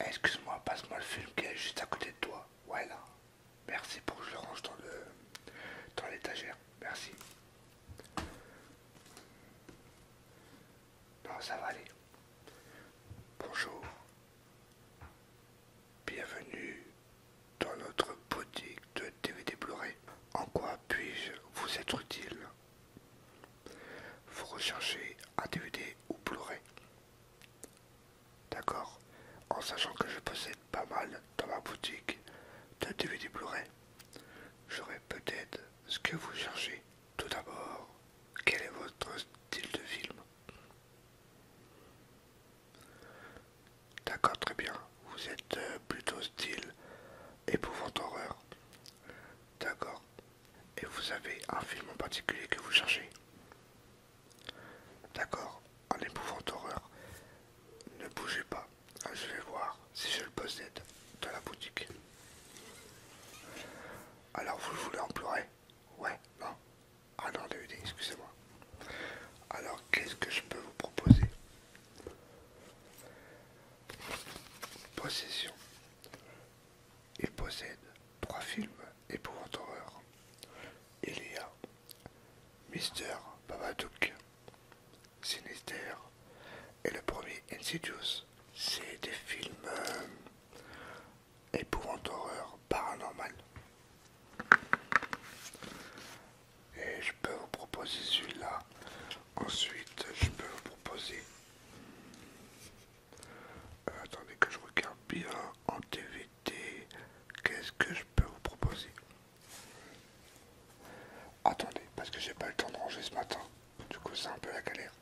Eh, excuse-moi, passe-moi le film qui est juste à côté de toi. Voilà. Merci pour que je le range dans l'étagère. Merci. Non, ça va aller. Bonjour. Bienvenue dans notre boutique de DVD Blu-ray. En quoi puis-je vous être utile Vous recherchez un DVD ou Blu-ray D'accord En sachant que je possède pas mal dans ma boutique de DVD Blu-ray, j'aurai peut-être ce que vous cherchez. Tout d'abord, quel est votre style de film D'accord, très bien. Vous êtes euh, plutôt style épouvante horreur. D'accord et vous avez un film en particulier que vous cherchez. D'accord, un épouvante horreur. Ne bougez pas, je vais voir si je le possède dans la boutique. Alors vous voulez en pleurer Ouais, non Ah non, DVD, excusez-moi. Alors qu'est-ce que je peux vous proposer Possession il possède trois films épouvant horreur. Il y a Mister Babadook, Sinister et le premier Insidious. C'est des films épouvante horreur paranormal. Et je peux vous proposer celui-là. Ensuite, je peux vous proposer euh, attendez que je regarde bien en TVT. Qu'est-ce que je peux vous proposer Attendez, parce que j'ai pas le temps de ranger ce matin. Du coup, c'est un peu la galère.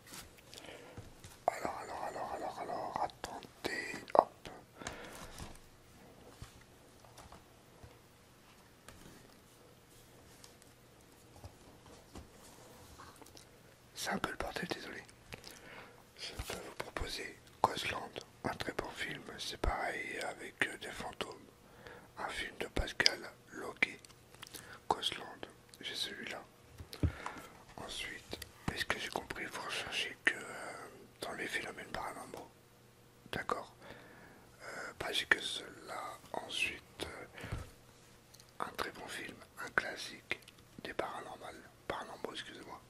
Alors, alors, alors, alors, alors, attendez. Hop. C'est un peu le bordel, désolé. Je peux vous proposer Cosland, un très bon film, c'est pareil avec euh, des fantômes. Un film de Pascal Loguet. Cosland, j'ai celui-là. Ensuite, est-ce que j'ai compris, vous recherchez que euh, dans les phénomènes paranormaux. D'accord. Pas euh, bah, j'ai que cela. Ensuite, un très bon film, un classique des paranormales, paranormaux, excusez-moi.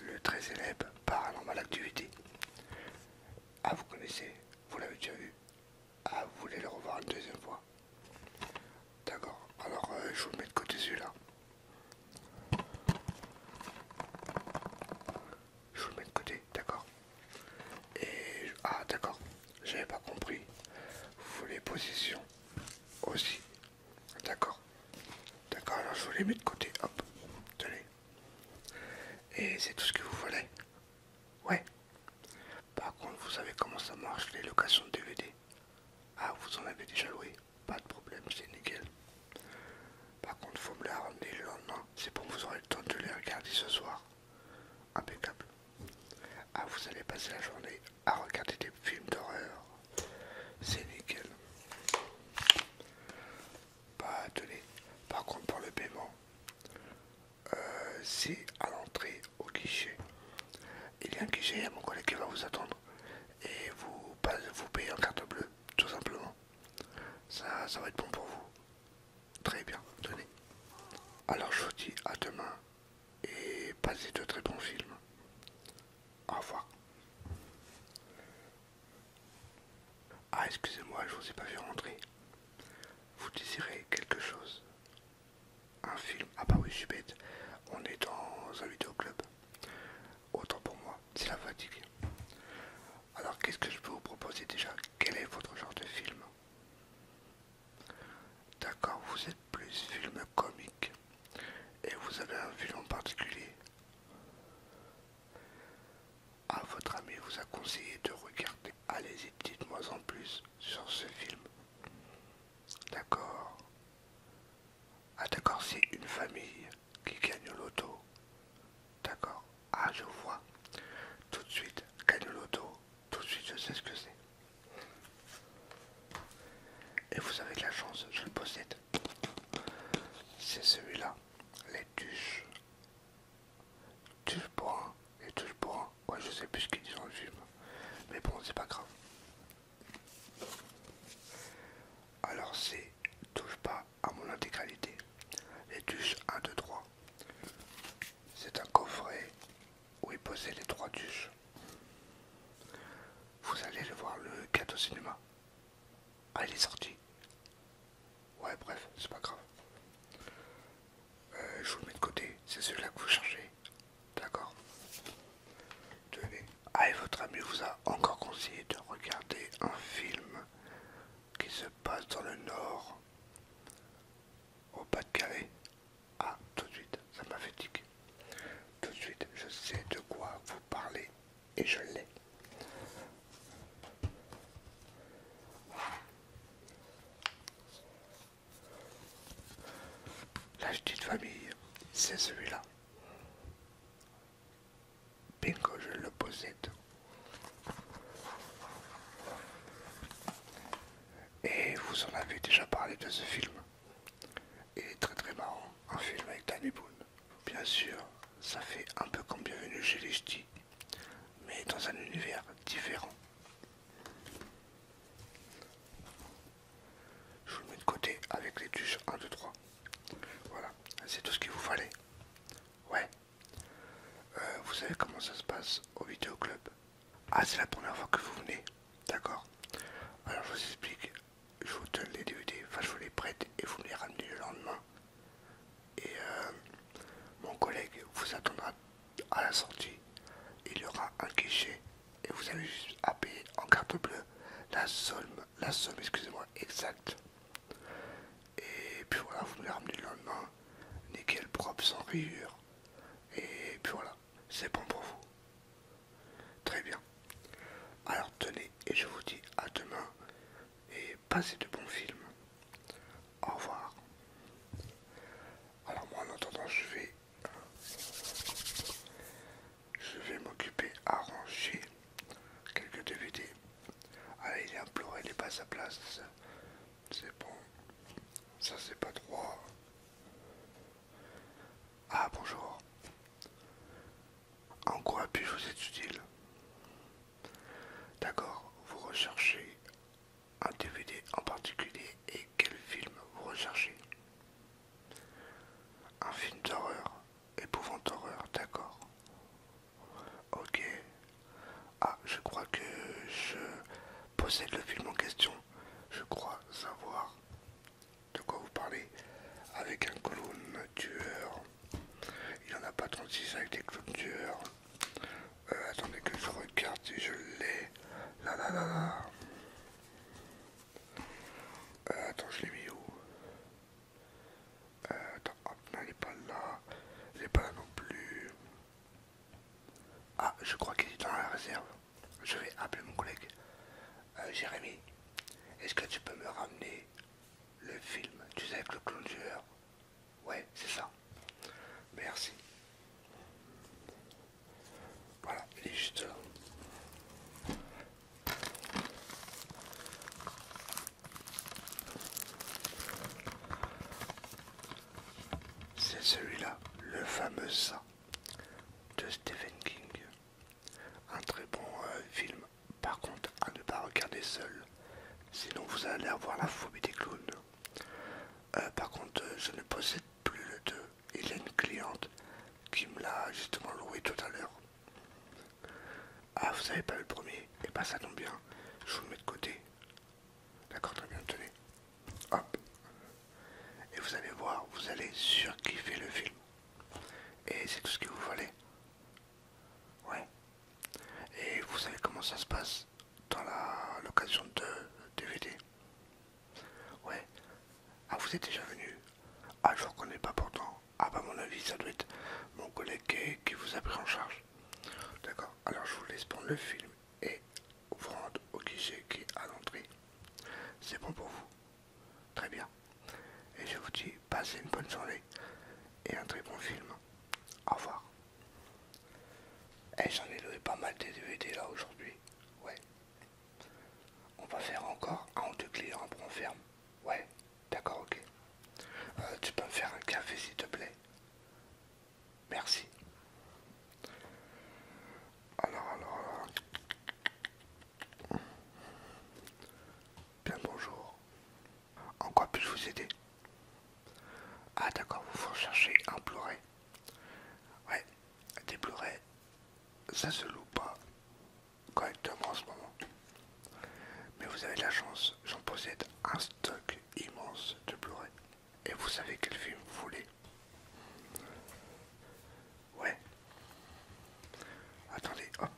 Le très célèbre Paranormal Activity. Ah, vous connaissez, vous l'avez déjà vu. Ah, vous voulez le revoir une deuxième fois. D'accord, alors euh, je vous le mets de côté celui-là je vous le mets de côté, d'accord Et ah d'accord, j'avais pas compris. Vous voulez position aussi, d'accord D'accord, alors je vous les mets de côté, hop, tenez. Et c'est tout ce que vous voulez Ouais. Par contre, vous savez comment ça marche les locations de DVD Ah, vous en avez déjà loué Pas de problème, c'est nickel. Par contre, faut me les ramener le lendemain. C'est bon, vous aurez le temps de les regarder ce soir. Impeccable. Ah, vous allez passer la journée à regarder des films d'horreur. C'est nickel. Bah, tenez. Par contre, pour le paiement, euh, c'est à l'entrée au guichet. Il y a un guichet, il y a mon collègue qui va vous attendre. Et vous, vous payez en carte bleue, tout simplement. Ça, ça va être bon pour vous. Très bien, tenez. Alors je vous dis à demain et passez de très bons films. Au revoir. Ah, excusez-moi, je vous ai pas vu rentrer. Vous désirez quelque chose Un film Ah bah oui, je suis bête. On est dans un vidéoclub. Autant pour moi, c'est la fatigue. Alors qu'est-ce que je peux vous proposer déjà Quel est votre genre de film D'accord, vous êtes plus film comique. Et vous avez un film en particulier Ah, votre ami vous a conseillé de regarder. Allez-y, dites-moi en plus sur ce film. D'accord. Ah d'accord, c'est une famille qui gagne l'auto D'accord Ah, je vois. Tout de suite, gagne l'auto. Tout de suite, je sais ce que c'est. Et vous avez de la chance, je le possède. C'est celui-là. Les tuches. Tuches pour un. Les touche pour un. Ouais, je sais plus ce qu'ils disent en Mais bon, c'est pas grave. Alors c'est touche pas à mon intégralité. les duches 1, 2, 3. C'est un coffret où est posé les trois tuches. Vous allez le voir le cadeau cinéma. Ah, il est sorti. Ouais, bref, c'est pas grave. Euh, je vous le mets de côté, c'est celui-là que vous cherchez. D'accord Tenez. Ah, et votre ami vous a encore conseillé de regarder un film qui se passe dans le Nord, au Pas-de-Calais. Ah, tout de suite, ça m'a fait tic. Tout de suite, je sais de quoi vous parlez et je l'ai. La petite famille, c'est celui-là. Bingo, je le possède. Et vous en avez déjà parlé de ce film. Il est très très marrant, un film avec Danny Boone. Bien sûr, ça fait un peu comme Bienvenue chez les Ch'tis, mais dans un univers différent. Je vous le mets de côté avec les touches 1, 2, 3. Voilà, c'est tout ce qu'il vous fallait. Ouais. Euh, vous savez comment ça se passe au vidéoclub Ah, c'est la première fois que vous venez. D'accord. Alors je vous explique. Je vous donne les DVD, enfin je vous les prête et vous me les ramenez le lendemain. Et euh, mon collègue vous attendra à la sortie. Il y aura un guichet et vous allez juste à payer en carte bleue la somme la somme, excusez-moi, exacte. Et puis voilà, vous me lendemain ramenez le lendemain, nickel, propre, sans rayures. Et puis voilà, c'est bon pour vous. Très bien. Alors tenez, et je vous dis à demain, et passez de bons films. Au revoir. Alors moi en attendant, je vais je vais m'occuper à ranger quelques DVD. Ah, il est imploré, il n'est pas à sa place. C'est bon. Ça, c'est pas droit. Ah, bonjour. En quoi puis-je vous être utile D'accord, vous recherchez un DVD en particulier et quel film vous recherchez un film d'horreur, épouvante horreur, d'accord. Ok. Ah, je crois que je possède le film en question. Je crois savoir de quoi vous parlez. Avec un clown tueur. Il n'y en a pas 36 avec des clowns tueurs. Euh, attendez que je regarde si je l'ai. Euh, attends, je l'ai mis où euh, Attends, hop, non, il n'est pas là. Il n'est pas là non plus. Ah, je crois qu'il est dans la réserve. Je vais appeler mon collègue. Euh, Jérémy, est-ce que tu peux me ramener le film Tu sais, avec le clown Ouais, c'est ça. Merci. Voilà, il est juste C'est celui-là, le fameux ça de Stephen King. Un très bon euh, film, par contre à ne pas regarder seul, sinon vous allez avoir la phobie des clowns. Euh, par contre, euh, je ne possède plus le 2, il a une cliente qui me l'a justement loué tout à l'heure. Ah, vous n'avez pas le premier Eh pas ben, ça tombe bien. Je vous le mets de côté. D'accord, très bien, tenez. Hop. Et vous allez voir, vous allez surkiffer le film. Et c'est tout ce que vous voulez. Ouais. Et vous savez comment ça se passe dans l'occasion de DVD. Ouais. Ah, vous êtes déjà venu Ah, je vous reconnais pas pourtant. Ah, bah, mon avis, ça doit être mon collègue qui, vous a pris en charge. D'accord. Alors, je vous laisse prendre le film et vous rendre au guichet qui est à l'entrée. C'est bon pour vous Très bien. Et je vous dis, passez une bonne journée et un très bon film. Au revoir. Et eh, j'en ai loué pas mal des DVD là aujourd'hui. Ouais. On va faire encore un ou deux clients pour on ferme. Ouais, d'accord, ok. Euh, tu peux me faire un café s'il te plaît Merci. Alors, alors, alors. Bien bonjour. En quoi puis-je vous aider Ah d'accord, vous recherchez un ploré. Ouais, des Blu-ray, ça se loue pas correctement en ce moment. Mais vous avez la chance, j'en possède un stock immense de Blu-ray. Et vous savez quel film vous voulez. Ouais. Attendez, hop.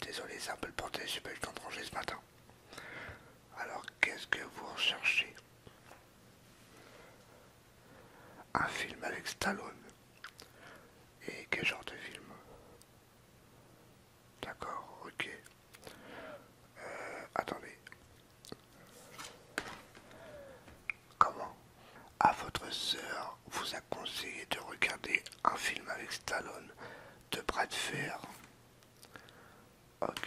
Désolé, c'est un peu le porté, j'ai pas eu le temps de ranger ce matin. Alors, qu'est-ce que vous recherchez Un film avec Stallone. Et quel genre de film D'accord, ok. Euh, attendez. Comment À votre sœur vous a conseillé de regarder un film avec Stallone de bras de fer Ok.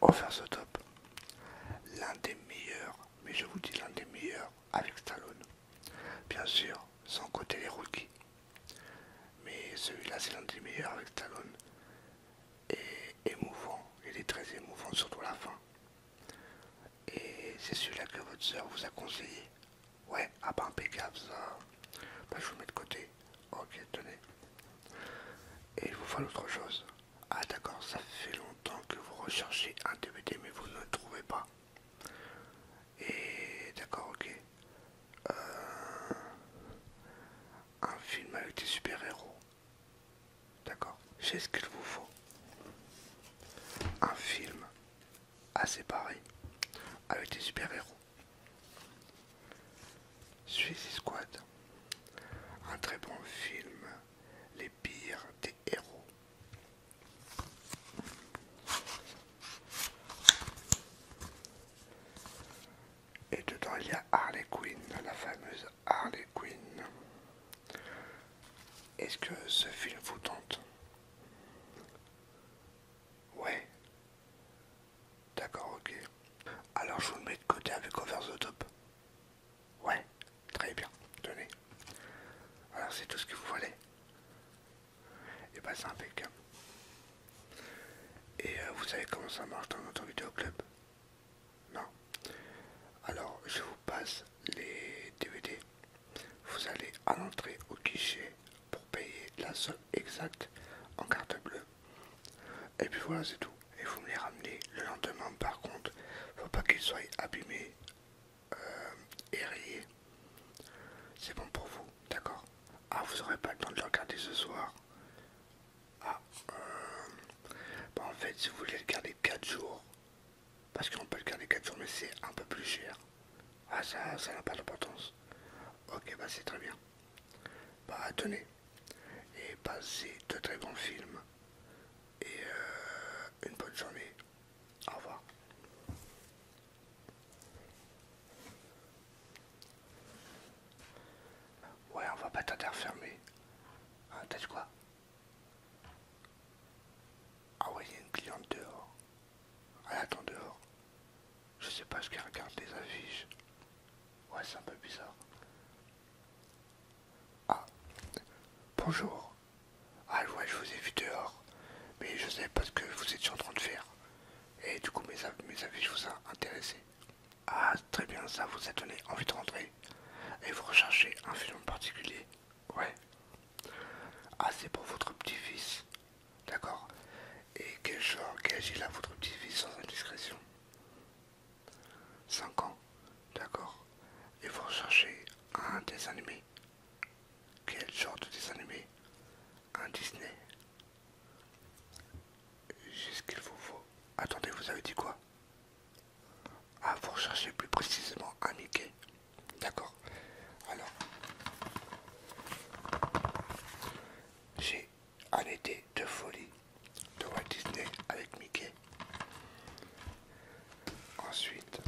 Offert ce top. L'un des meilleurs, mais je vous dis l'un des meilleurs avec Stallone. Bien sûr, sans côté les rookies. Mais celui-là, c'est l'un des meilleurs avec Stallone. Et émouvant, il est très émouvant, surtout la fin. Et c'est celui-là que votre soeur vous a conseillé Ouais, ah bah impeccable ça. Bah, je vous mets de côté. Ok, tenez. Et il vous faut l'autre chose. Ah d'accord, ça fait longtemps que vous recherchez un DVD mais vous ne le trouvez pas. Et d'accord, ok. Euh, un film avec des super-héros. D'accord c'est ce qu'il vous faut. Un film assez pareil avec des super-héros. Suicide Squad. Un très bon film. Les pires des héros. Et dedans il y a Harley Quinn, la fameuse Harley Quinn. Est-ce que ce film vous tente Ouais. D'accord, ok. Alors je vous le mets de côté avec Over the Top. Ouais, très bien. Tenez. Alors c'est tout ce que vous voulez. Et bah ben, c'est impeccable. Et euh, vous savez comment ça marche dans notre vidéo club non. Alors, je vous passe les DVD. Vous allez à l'entrée au guichet pour payer la somme exacte en carte bleue. Et puis voilà, c'est tout. Et vous me les ramenez le lendemain, par contre, faut pas qu'ils soient abîmés euh, et rayés. C'est bon pour vous, d'accord Ah, vous n'aurez pas le temps de le regarder ce soir. Ah, euh, bah, en fait, si vous voulez le garder 4 jours, parce qu'on peut le garder 4 jours, mais c'est un peu plus cher. Ah, ça n'a pas d'importance. Ok, bah c'est très bien. Bah, tenez. Et passez de très bons films. Et euh, une bonne journée. Au revoir. Ouais, on va pas t'interfermer. Ah t'as quoi Ah ouais, il y a une cliente dehors. Elle attend dehors. Je sais pas ce qu'elle regarde les affiches. Ouais, c'est un peu bizarre. Ah, bonjour. Ah ouais, je vous ai vu dehors. Mais je ne savais pas ce que vous étiez en train de faire. Et du coup, mes, mes affiches vous ont intéressé. Ah, très bien, ça vous a donné envie de rentrer. Et vous recherchez un film particulier Ouais. Ah, c'est pour votre petit-fils. D'accord. Et quel genre, quel âge il a votre petit-fils sans indiscrétion 5 ans. D'accord. Et vous recherchez un dessin animé Quel genre de dessin animé Un Disney j'ai ce qu'il vous faut. Attendez, vous avez dit quoi Ah, vous chercher plus précisément un Mickey. D'accord. Alors, j'ai un été de folie de Walt Disney avec Mickey. Ensuite,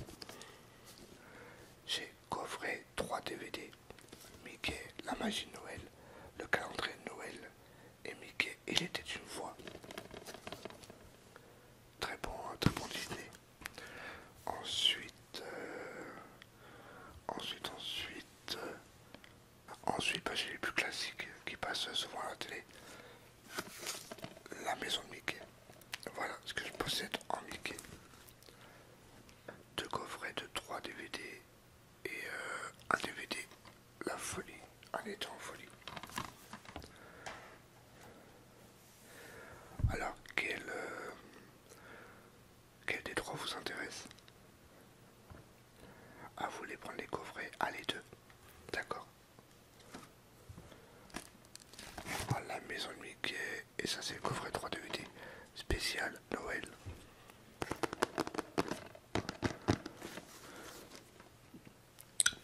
j'ai coffré 3 DVD. Mickey, la magie de Noël, le calendrier de Noël et Mickey, il était une voix. Très bon, hein, très bon Disney. Euh, ensuite, ensuite, euh, ensuite, ensuite, bah, j'ai les plus classiques qui passent souvent à la télé. La maison de Mickey. Voilà ce que je possède en Mickey. Deux coffrets de trois DVD et euh, un DVD, la folie, un état en folie. Alors, quel, euh, quel des trois vous intéresse Ah, vous voulez prendre les coffrets à les deux, d'accord. Ah, la maison de Mickey, et ça c'est le coffret 3 DVD spécial Noël,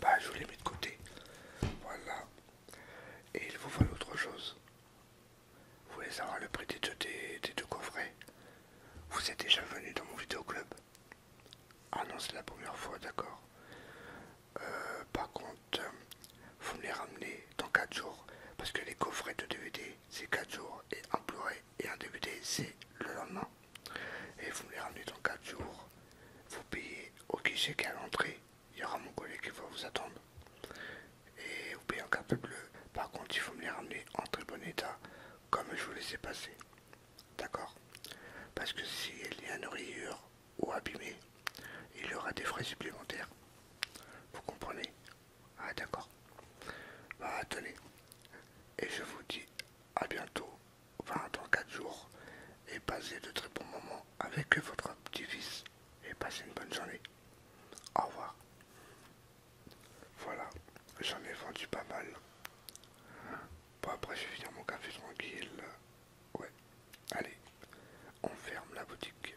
Bah, je vous les mets de côté. Voilà. Et il vous faut autre chose. Vous voulez savoir le prix des deux, coffrets Vous êtes déjà venu dans mon vidéoclub Ah non, c'est la première fois, d'accord. Euh, par contre, vous me les ramenez dans 4 jours. Parce que les coffrets de DVD, c'est 4 jours. Et un et un début c'est le lendemain. Et vous me les ramenez dans 4 jours. Vous payez au guichet qui est à l'entrée. Il y aura mon collègue qui va vous attendre. Et vous payez en carte bleu. Par contre, il faut me les ramener en très bon état, comme je vous les ai passés. D'accord Parce que s'il y a une rayure ou abîmée, il y aura des frais supplémentaires. Vous comprenez ah d'accord. Bah tenez. Et je vous dis à bientôt, enfin dans 4 jours, et passez de très bons moments avec votre petit-fils. Et passez une bonne journée. Au revoir. Voilà, j'en ai vendu pas mal. Bon après je vais finir mon café tranquille. Ouais. Allez, on ferme la boutique.